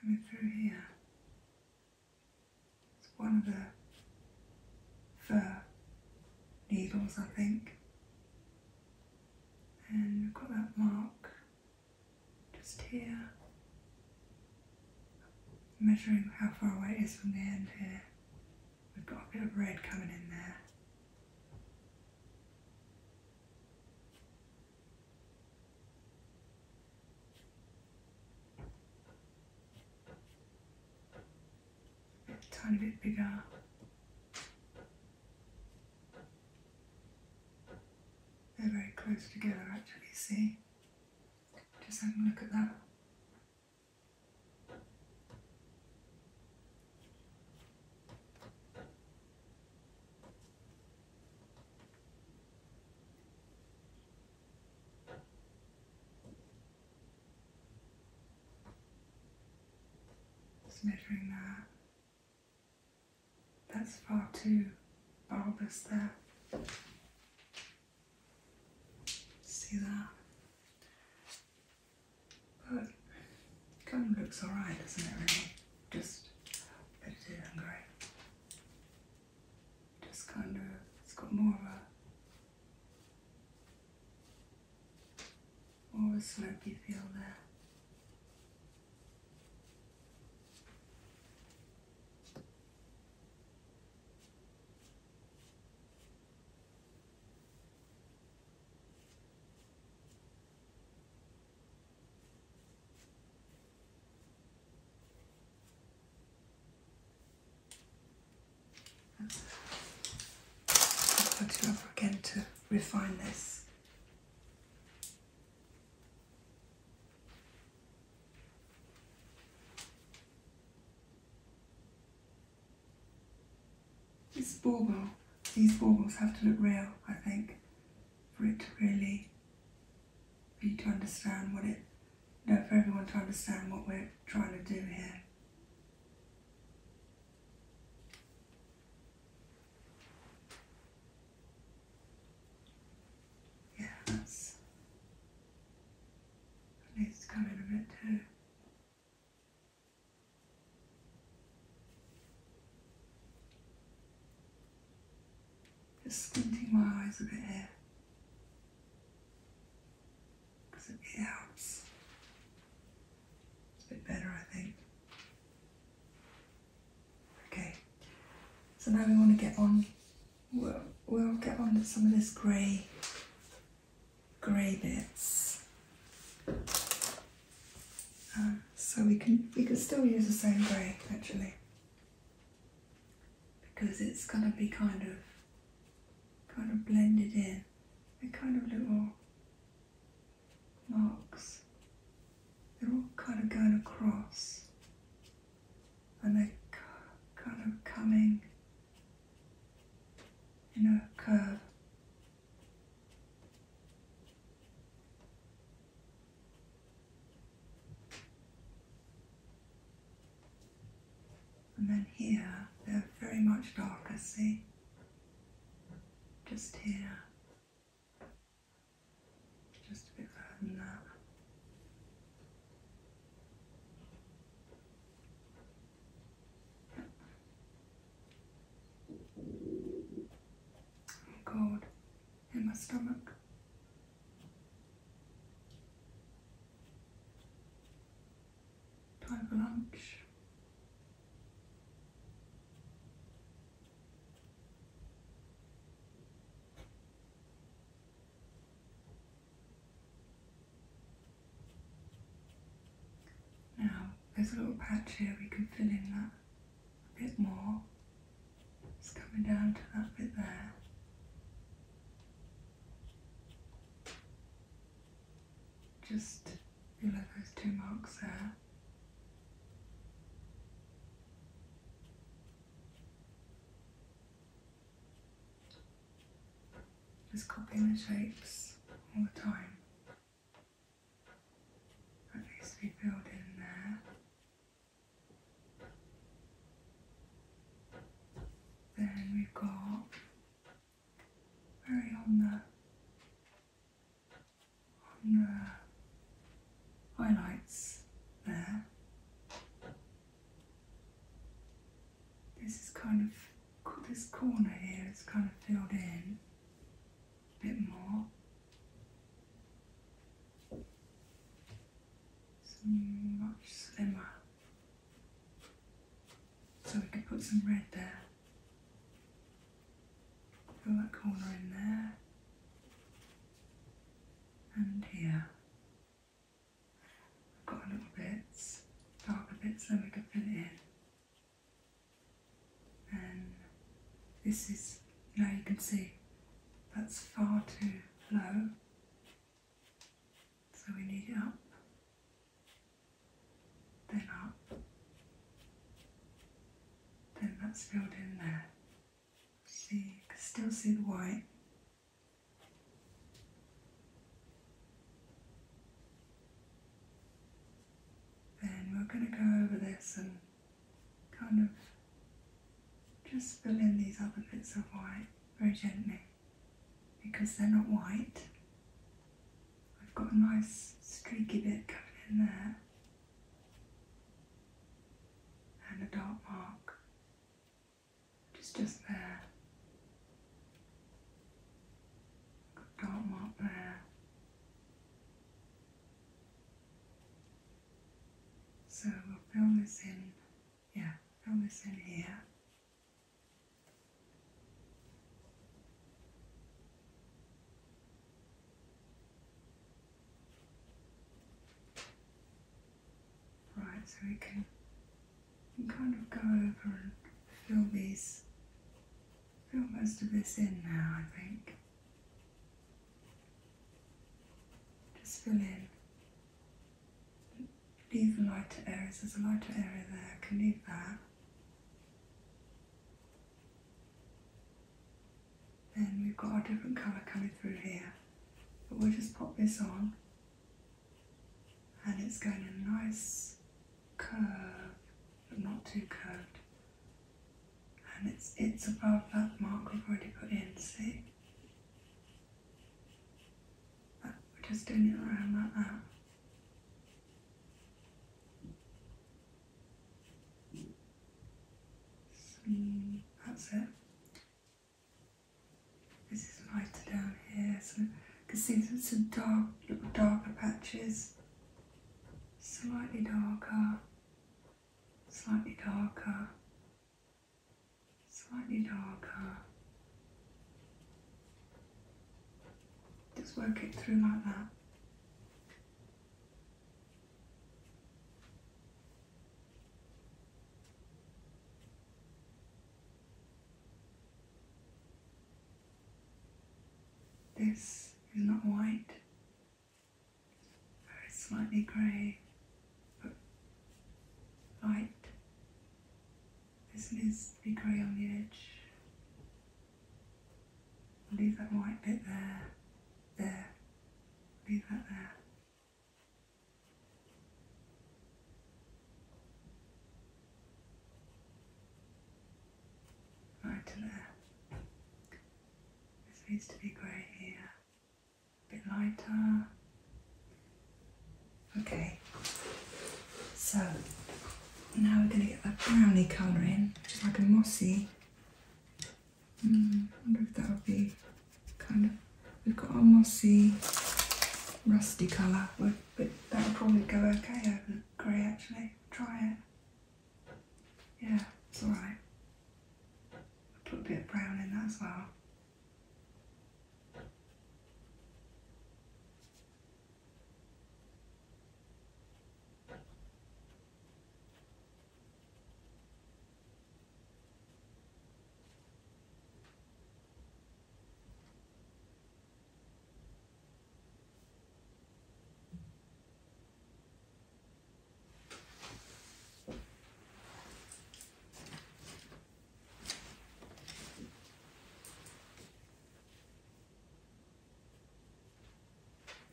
Coming through here. It's one of the fur needles, I think. And we've got that mark just here, measuring how far away it is from the end here. We've got a bit of red coming in there. A tiny bit bigger. They're very close together actually, see? Just have a look at that measuring that. That's far too bulbous there. See that? But it kind of looks alright, doesn't it really? Just a and grey. Just kind of, it's got more of a, more of a feel there. Put you over again to refine this. This bauble, these baubles have to look real, I think, for it to really, for you to understand what it, no, for everyone to understand what we're trying to do here. Yeah, that's, that needs in a bit too. Just squinting my eyes a bit here because it, it It's a bit better, I think. Okay, so now we want to get on. We'll, we'll get on to some of this grey grey bits. Um, so we can we can still use the same grey actually because it's gonna be kind of kind of blended in. They're kind of little marks. They're all kind of going across and they're kind of coming in a curve. And then here, they're very much darker, see? Just here. Just a bit further than that. I'm oh, cold in my stomach. Time for lunch. Now, there's a little patch here, we can fill in that a bit more. It's coming down to that bit there. Just below those two marks there. Just copying the shapes all the time. That needs to be in there. Then we got very on the on the highlights there. This is kind of, this corner here is kind of filled in a bit more. It's much slimmer. So we could put some red there. Fill that corner in there. And here. I've got a little bits, darker bits, then we can fill it in. And this is, now you can see, that's far too low. So we need it up, then up, then that's filled in there. See, still see the white, then we're going to go over this and kind of just fill in these other bits of white very gently because they're not white. I've got a nice streaky bit coming in there and a dark mark just just there. Dark mark there. So we'll fill this in, yeah, fill this in here. Right, so we can, kind of go over and fill these, fill most of this in now, I think. Just fill in. Leave the lighter areas. There's a lighter area there. I can leave that. Then we've got our different colour coming through here. But we'll just pop this on and it's going in a nice curve, but not too curved. And it's it's above that mark we've already put in, see? we're just doing it around like that. So mm, that's it. This is lighter down here, so you can see some, some dark, little darker patches. Slightly darker, slightly darker, slightly darker. Just work it through like that. This is not white, very slightly grey, but light. This needs to be grey on the edge. leave that white bit there, there, leave that there. Right there. This needs to be grey here. A bit lighter. Okay. So now we're going to get that brownie colour in, which like a mossy. Mm, wonder if that would be kind of, we could almost see rusty colour, but, that would probably go okay over grey actually. Try it. Yeah, it's alright. put a bit of brown in that as well.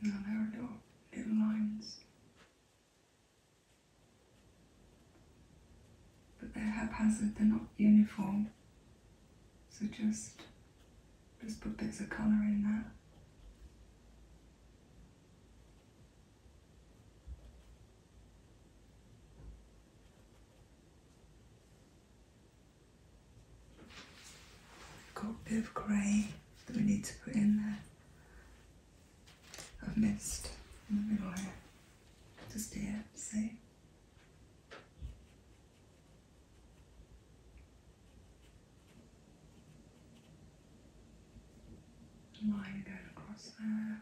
Now there are little, little lines but they're haphazard, they're not uniform. So just, just put bits of colour in there. Got a bit of grey that we need to put in there. Of mist in the middle here. Just here, see? Line going across there.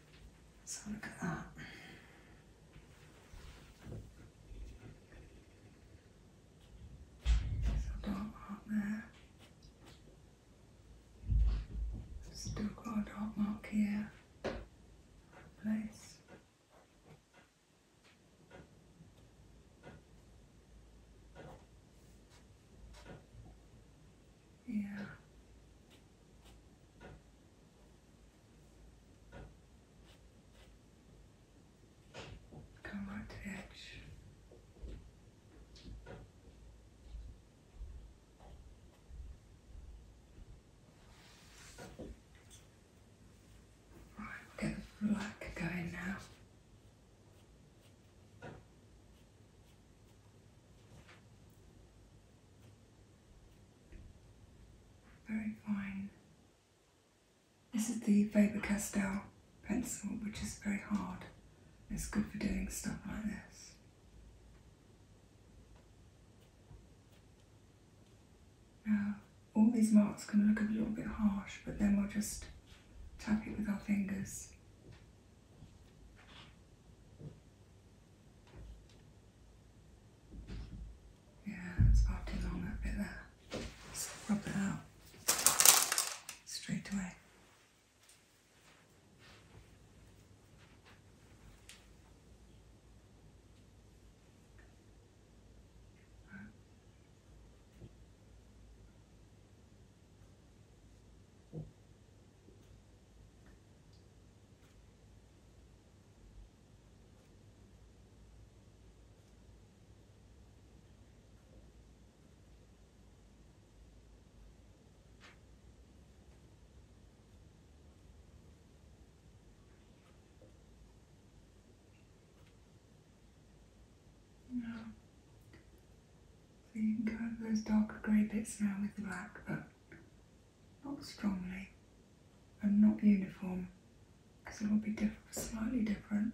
So look at that. There's a dark mark there. Still got a dark mark here. Place. Yeah. Come on to the edge. All right, get the black going now. Very fine. This is the Faber-Castell pencil, which is very hard. It's good for doing stuff like this. Now, all these marks can look a little bit harsh, but then we'll just tap it with our fingers. Yeah, it's far too long that bit there. rub it out straight away. Now, so you can cover those darker grey bits now with black, but not strongly and not uniform because it will be slightly different.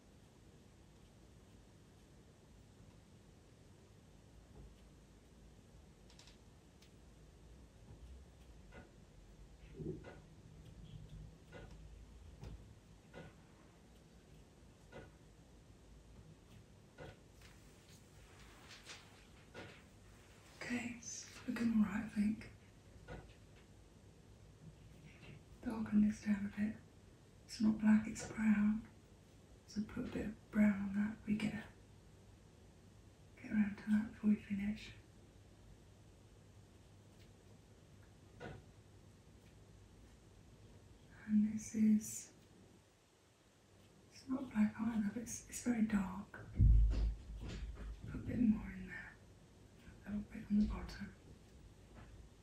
Okay, it's looking alright, I think. The organ looks down a bit. It's not black, it's brown. So put a bit of brown on that. We get a, get around to that before we finish. And this is it's not black either, but it's it's very dark. Put a bit more in there. A little bit on the bottom.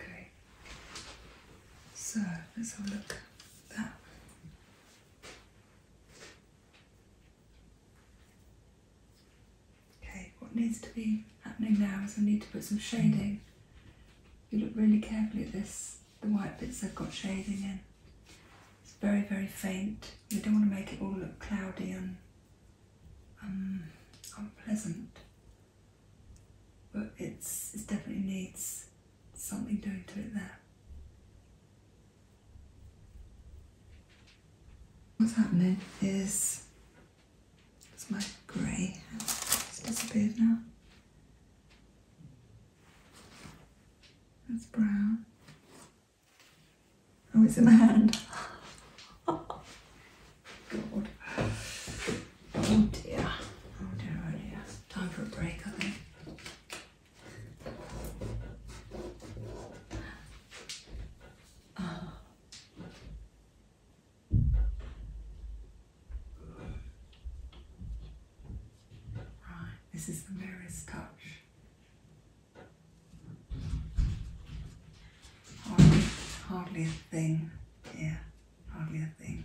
Okay, so let's have a look Okay, what needs to be happening now is I need to put some shading. If mm-hmm. you look really carefully at this, the white bits have got shading in. It's very, very faint. You don't want to make it all look cloudy and um, unpleasant but it's it definitely needs something doing to it there. What's happening is it's my grey it's disappeared now. That's brown. Oh, it's in my hand. Oh dear. Oh dear, oh dear. Time for a break, I think. Ah. Right, this is the mirror's touch hardly, a thing. Yeah, hardly a thing.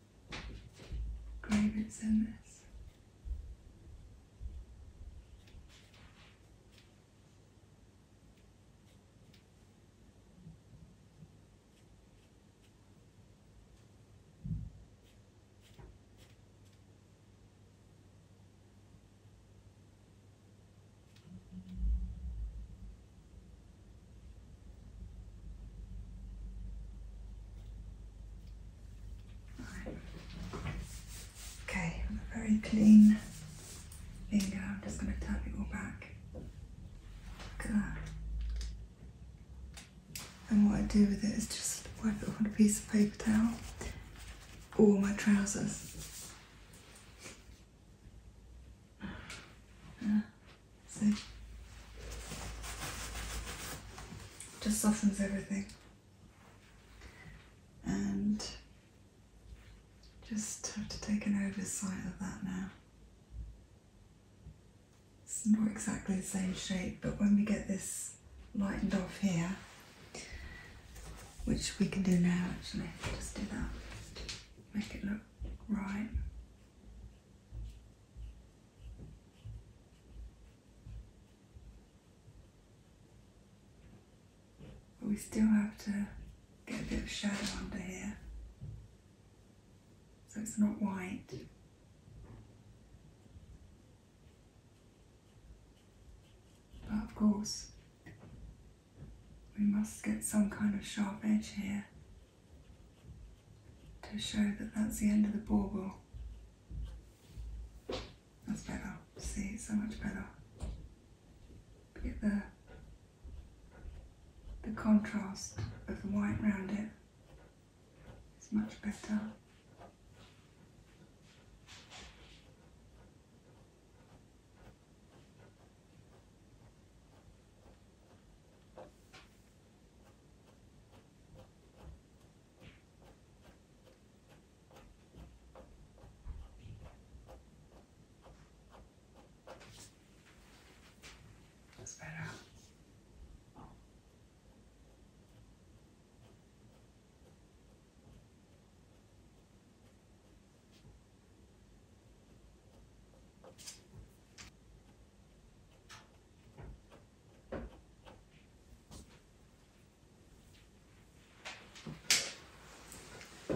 grey in this. Okay, very clean finger. I'm just going to tap it all back. Look at that. And what I do with it is just wipe it off on a piece of paper towel or my trousers. So just softens everything and just have to take an oversight of that now. It's not exactly the same shape, but when we get this lightened off here, which we can do now actually, just do that, make it look right we still have to get a bit of shadow under here so it's not white. But of course, we must get some kind of sharp edge here to show that that's the end of the bauble. That's better. See, so much better. Get the the contrast of the white around it. It's much better. That's better. Oh.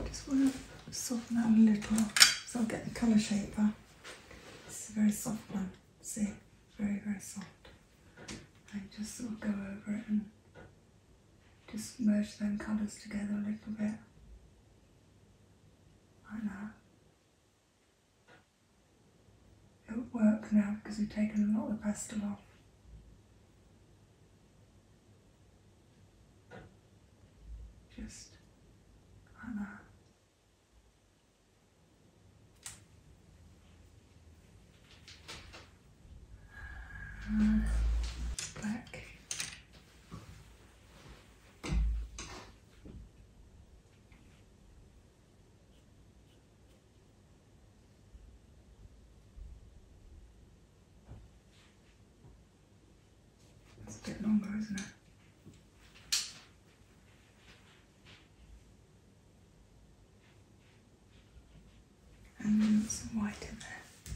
Just want to soften that a little, so I'll get the colour shaper. It's a very soft one, see, very, very soft. And just sort of go over it and just merge them colours together a little bit, like it works now because we've taken a lot of the pastel off. Just like uh, black. It's a bit longer, isn't it? And some white in there.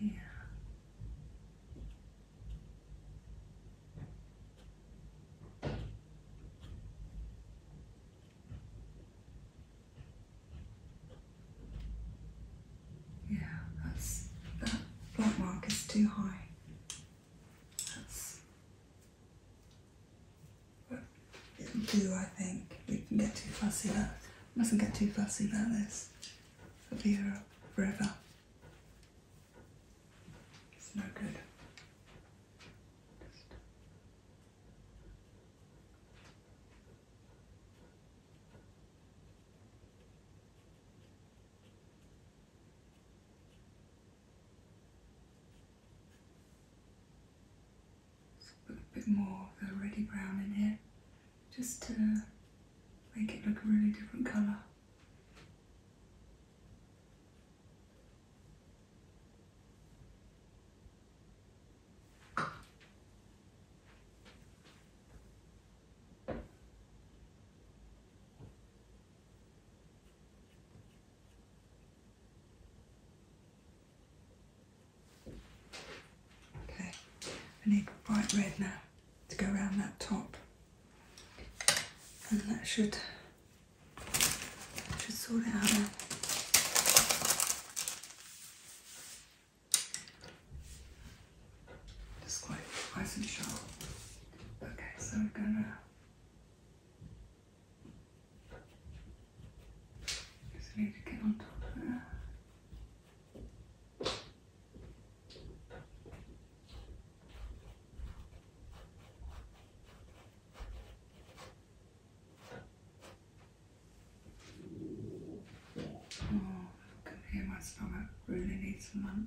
yeah. Yeah, that's that black mark is too high. That's but it'll do I think. We can get too fussy about mustn't get too fussy about this. Vera Breva. It's no good a bit more of a ready brown in here just to make it look a really different colour. Okay, I need bright red now to go around that top. And that should, should sort it out Just quite nice and sharp. Okay, so we're gonna just need to get on top Oh, can hear my stomach really needs some lunch.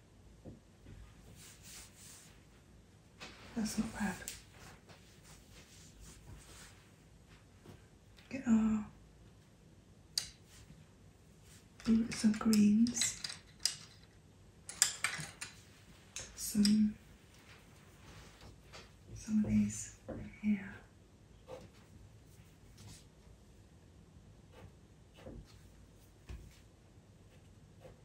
That's not bad. Get our some greens, some some of these here.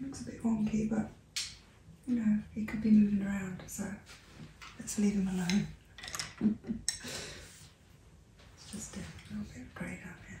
Looks a bit wonky, but you know, he could be moving around, so let's leave him alone. it's just a little bit of grey up here.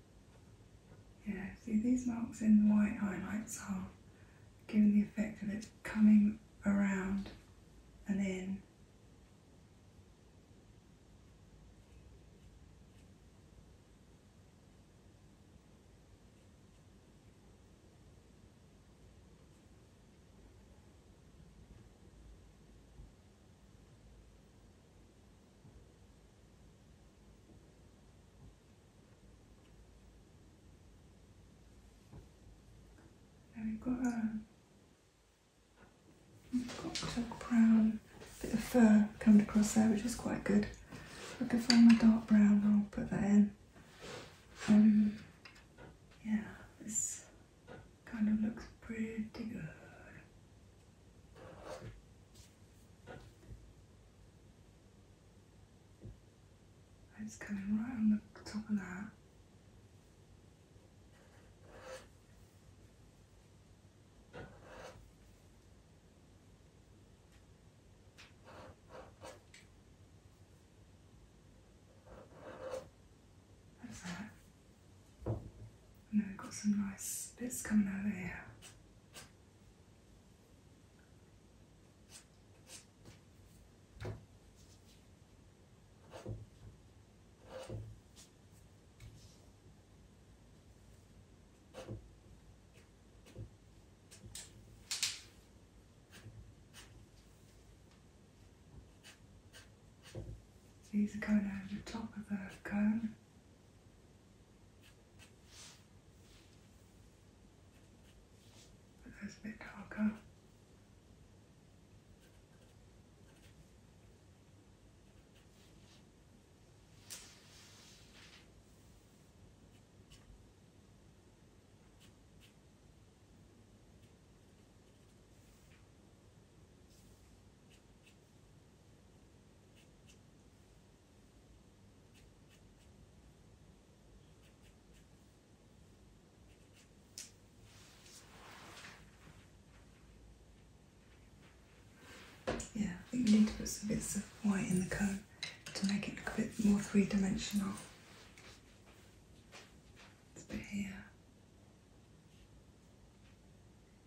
Yeah, see these marks in the white highlights are giving the effect of it coming around and in. Now we've got a um, cocktail brown bit of fur coming across there, which is quite good. I can find my dark brown, I'll put that in. Um, yeah, this kind of looks pretty good. It's coming right on the top of that. That's that. And then we've got some nice bits coming over here. These are going over the top of the cone time. But a bit darker. Yeah, I think you need to put some bits of white in the cone to make it look a bit more three dimensional. a bit here.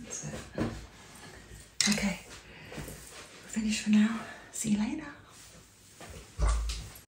That's it. Okay, we're finished for now. See you later.